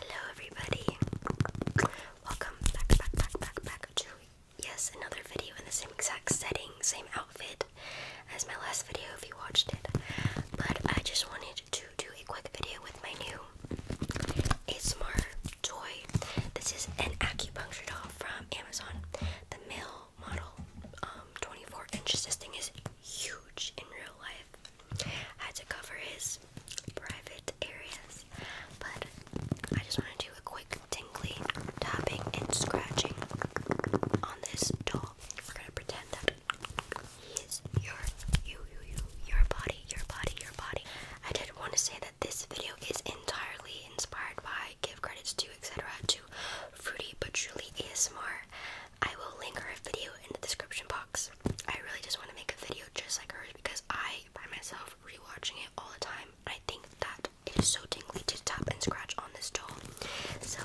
Hello everybody. Welcome back back back back back to yes, another video in the same exact setting, same outfit as my last video if you watched it. But I just wanted to do a quick video with my new ASMR toy. This is an acupuncture doll from Amazon. The male model, um, 24 inches. This thing is huge in real life. I had to cover his private areas, but I just want to do a quick tingly tapping and scratching on this doll. We're gonna pretend that he is your, you, you, you, your body, your body, your body. I did want to say that this video is entirely inspired by give credits to etc. to Fruity but Truly ASMR. I will link her video in the description box. I really just want to make a video just like hers because I, by myself, rewatching it all the time. I think that it is so tingly to tap and scratch on this doll. So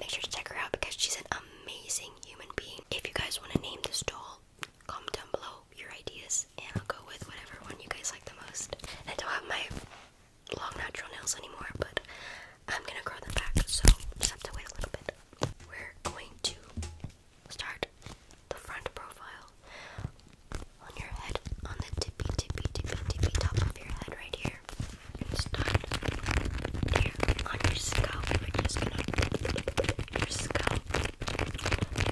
make sure to check her out because she's an amazing human being. If you guys want to name this doll, comment down below your ideas and I'll go with whatever one you guys like the most. I don't have my long natural nails anymore, but I'm gonna grow them back, so just have to wait a little bit. We're going to start the front profile on your head, on the tippy, tippy, tippy, tippy top of your head right here. And start here on your scalp. We're just gonna your scalp, your scalp,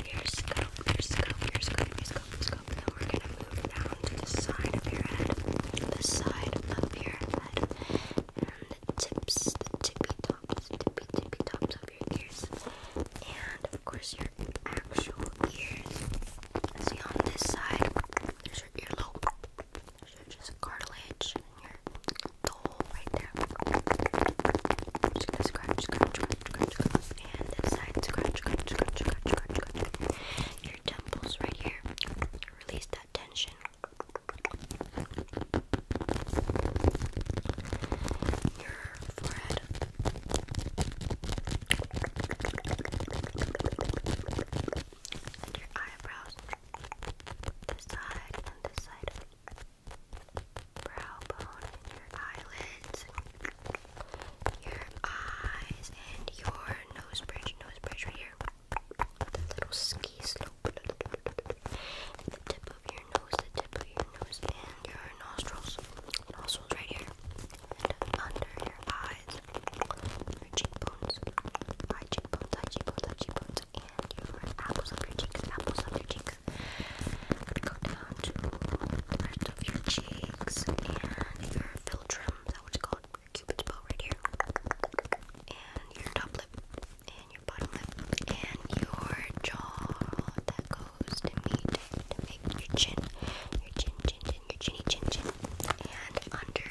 your scalp, your scalp, your scalp, your scalp. Then we're gonna move around to the side of your head, the side of your head, and the tips, the tippy tops, tippy tippy tops of your ears, and of course your actual ears. See on this side, there's your earlobe, there's your just cartilage, and your the hole right there. and this side, Your temples right here. Release that tension your forehead. your eyebrows. This side and this side. Brow bone your eyelids. Your eyes and your nose bridge. Nose bridge right here the little ski slope, and the tip of your nose, the tip of your nose, and your nostrils, nostrils right here, and under your eyes, your cheekbones, eye cheekbones, eye cheekbones, eye cheekbones, and your apples of your cheeks, apples of your cheeks. I'm gonna go down to the rest of your cheeks and your philtrum, is that what it's called? cupid's bow right here, and your top lip, and your bottom lip, and your jaw that goes to meet your chin, your chin, chin, chin, your chinny chin, chin, and under,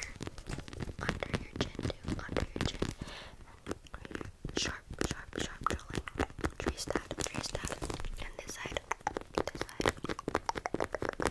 under your chin under your chin, sharp, sharp, sharp drawline. Trace that, trace that, and this side, this side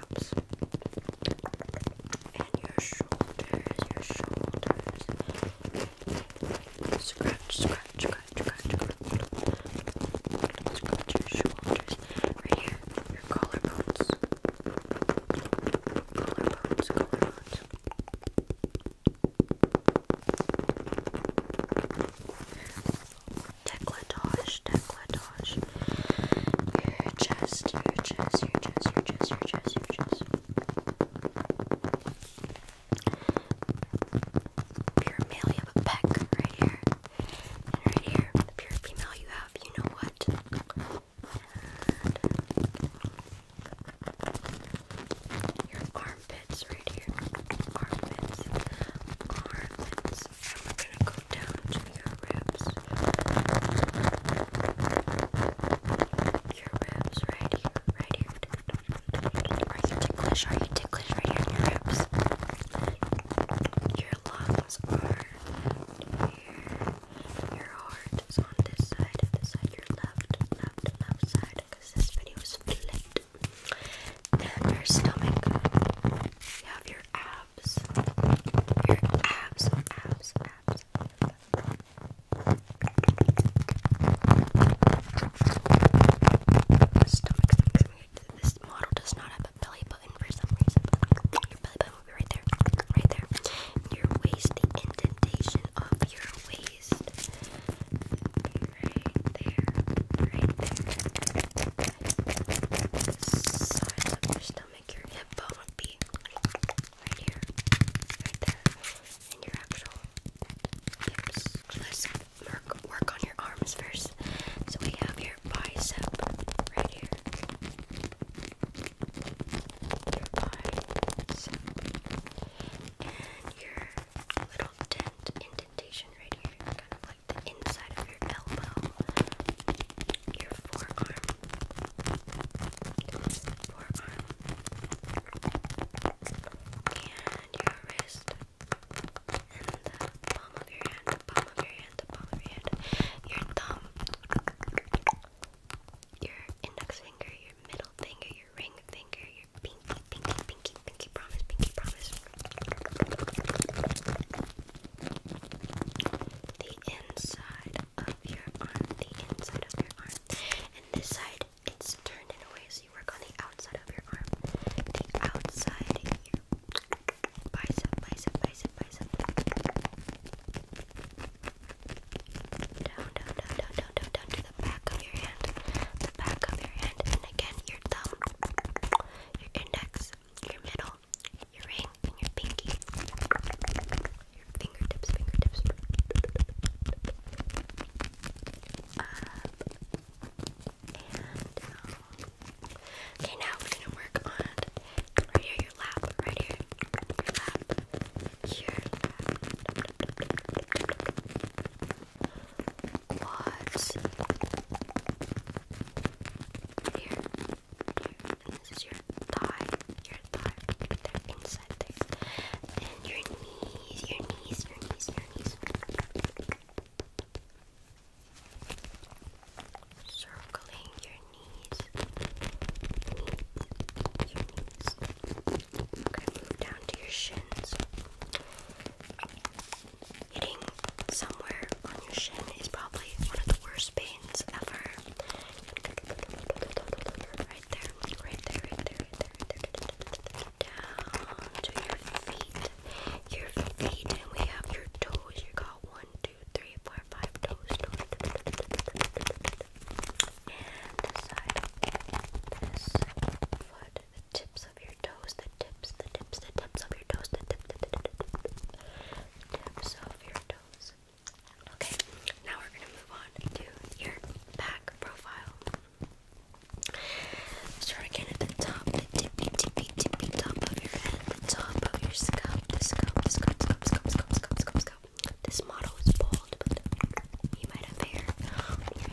and your shoulders, your shoulders. Scratch, scratch, scratch, scratch, scratch. Scratch your shoulders. Right here, your collarbones. Collarbones, collarbones. Decolletage, decolletage gosh. Your chest, your chest, your chest, your chest, your chest, your chest. Pure male, you have a peck right here. And right here, the pure female, you have, you know what? And your armpits right here. Armpits. Armpits this, and we're gonna go down to your ribs. Your ribs right here, right here. Are you ticklish? Are you ticklish right here in your ribs? Your lungs are here. Your heart is on this side, this side, your left, left, left side, because this video is flipped. And your stomach. You have your abs. Your abs, abs, abs. Stomach, stomach, stomach. This model does not have a belly button for some reason. Your belly button will be right there, right there. Your waist, the indentation of your waist, right there, right there sides of your stomach, your hip be right here, right there, and your actual hips. Let's work, on your arms first. So we have your bicep right here. Your bicep. And your little dent indentation right here. Kind of the inside of your elbow, your forearm, forearm, and your wrist, and the palm of your hand, the palm of your hand, the palm of your hand, your thumb, your index finger, your middle finger, your ring finger, your pinky, pinky, pinky, pinky promise, pinky promise the inside of your arm, the inside of your arm, and this side it's turned in a way so you work on the outside of your arm, the outside of your bicep, bicep, bicep, bicep. Down, down, down, down, down, down, down to the back of your hand, the back of your hand, and again your thumb, your index, your middle, your ring, and your pinky. Your fingertips, fingertips. Uh, um, okay, now we're gonna work on right here, your lap, right here, your lap, here. What? Here. And this is your thigh. Your thigh. they inside there. And your knees, your knees, your knees, your knees. Circling your knees. Knees. knees. Okay, move down to your shins. Hitting somewhere on your shin is probably one of the worst pains ever. Right there, right there, right there, right there, right there. Down to your feet. Your feet, and we have your toes. You got one, two, three, four, five toes. toes. And this side, this foot, the tips of your toes, the tips, the tips, the tips of your toes, the tip, the tip, the tip, the tip, the tips of your toes. Okay, now we're gonna move on to your back profile. Start again at the top, the tippy, tippy, tippy top of your head, the top of your scalp, the scalp, the scalp, scalp, scalp, scalp, scalp, scalp, scalp. This model is bald, but he might have hair. He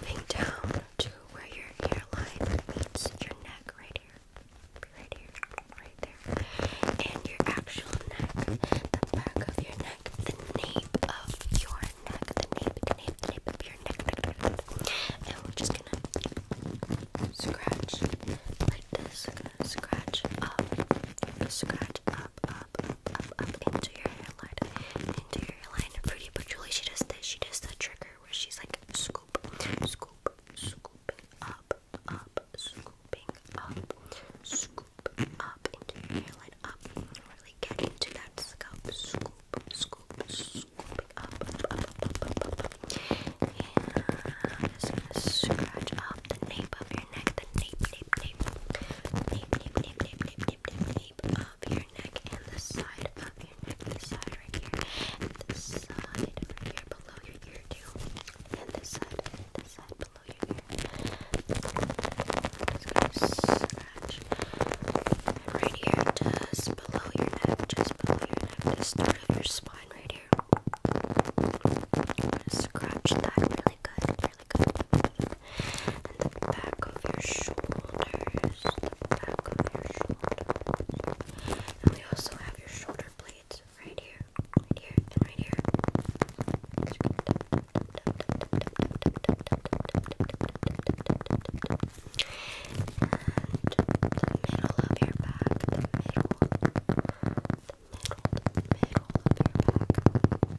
Moving down to where your hairline meets your neck, right here, right here, right there, and your actual neck, the back of your neck, the nape of your neck, the nape, nape, nape of your neck, and we're just gonna scratch like this, scratch up, scratch up, up, up, up into your hair lid interior line pretty but Julie she does this she does the trigger where she's like scoop scoop scoop, up up scooping up scoop up into your hairline up really get into that scalp scoop scoop scooping up up up up up up, up. and just gonna scratch up the nape of your neck the nape nape nape nape nape nape nape nape nape deep, deep, deep of your neck and the side of your neck, the side right here, and the side right here below your ear too, and this side, and this side below your ear. I'm just gonna scratch and right here, just below your neck, just below your neck, the start of your spine right here. I'm gonna scratch that really good. And the back of your shoulders. The back of your shoulders. And we also have your shoulder blades right here, right here, and right here. And the middle of your back, the middle, the middle, the middle of your back.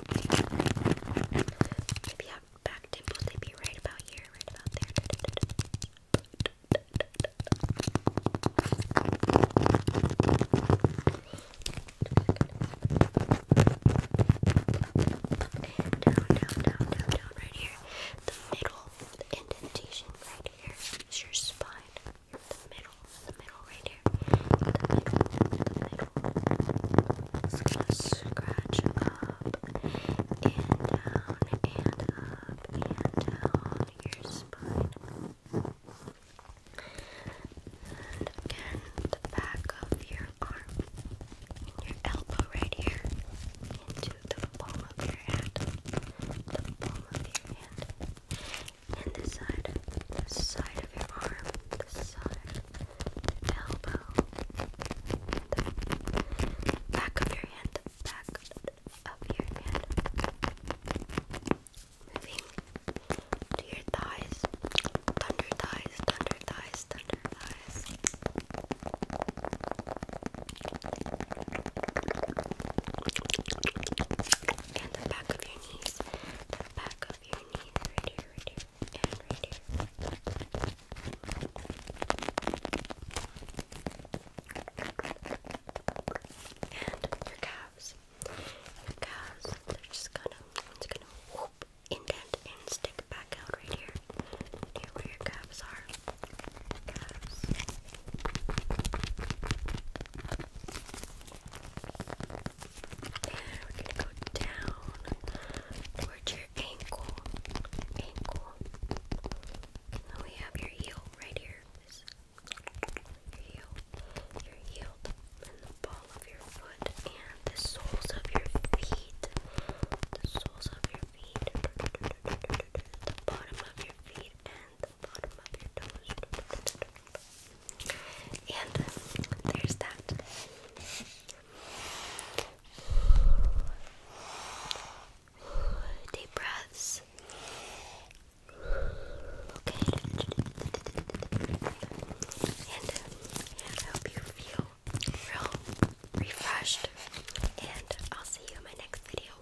Maybe have back dimples, they right about here, right about there. Down, down, down, down, down, right here. The middle indentation right here is your spine the middle, the middle right here. The middle, the middle. So gonna scratch up and down and up and down your spine. And again, the back of your arm, your elbow right here, into the palm of your hand, the palm of your hand, and this side, the side of your arm, the side, elbow, the back of your hand, back of your hand. Moving to your thighs, thunder thighs, thunder thighs, thunder thighs. And the back of your the back of your knees, right here, right here, and right here. And your calves. calves, they're just gonna, it's gonna indent, and stick back out right here. Here where your calves are. And we're gonna go down towards your ankle. Ankle. And then we have your heel right here. your heel. Your heel. And the ball of your foot. And the soles of your feet. The soles of your feet. The bottom of your feet. And there's that. Deep breaths. Okay. And I hope you feel real refreshed. And I'll see you in my next video.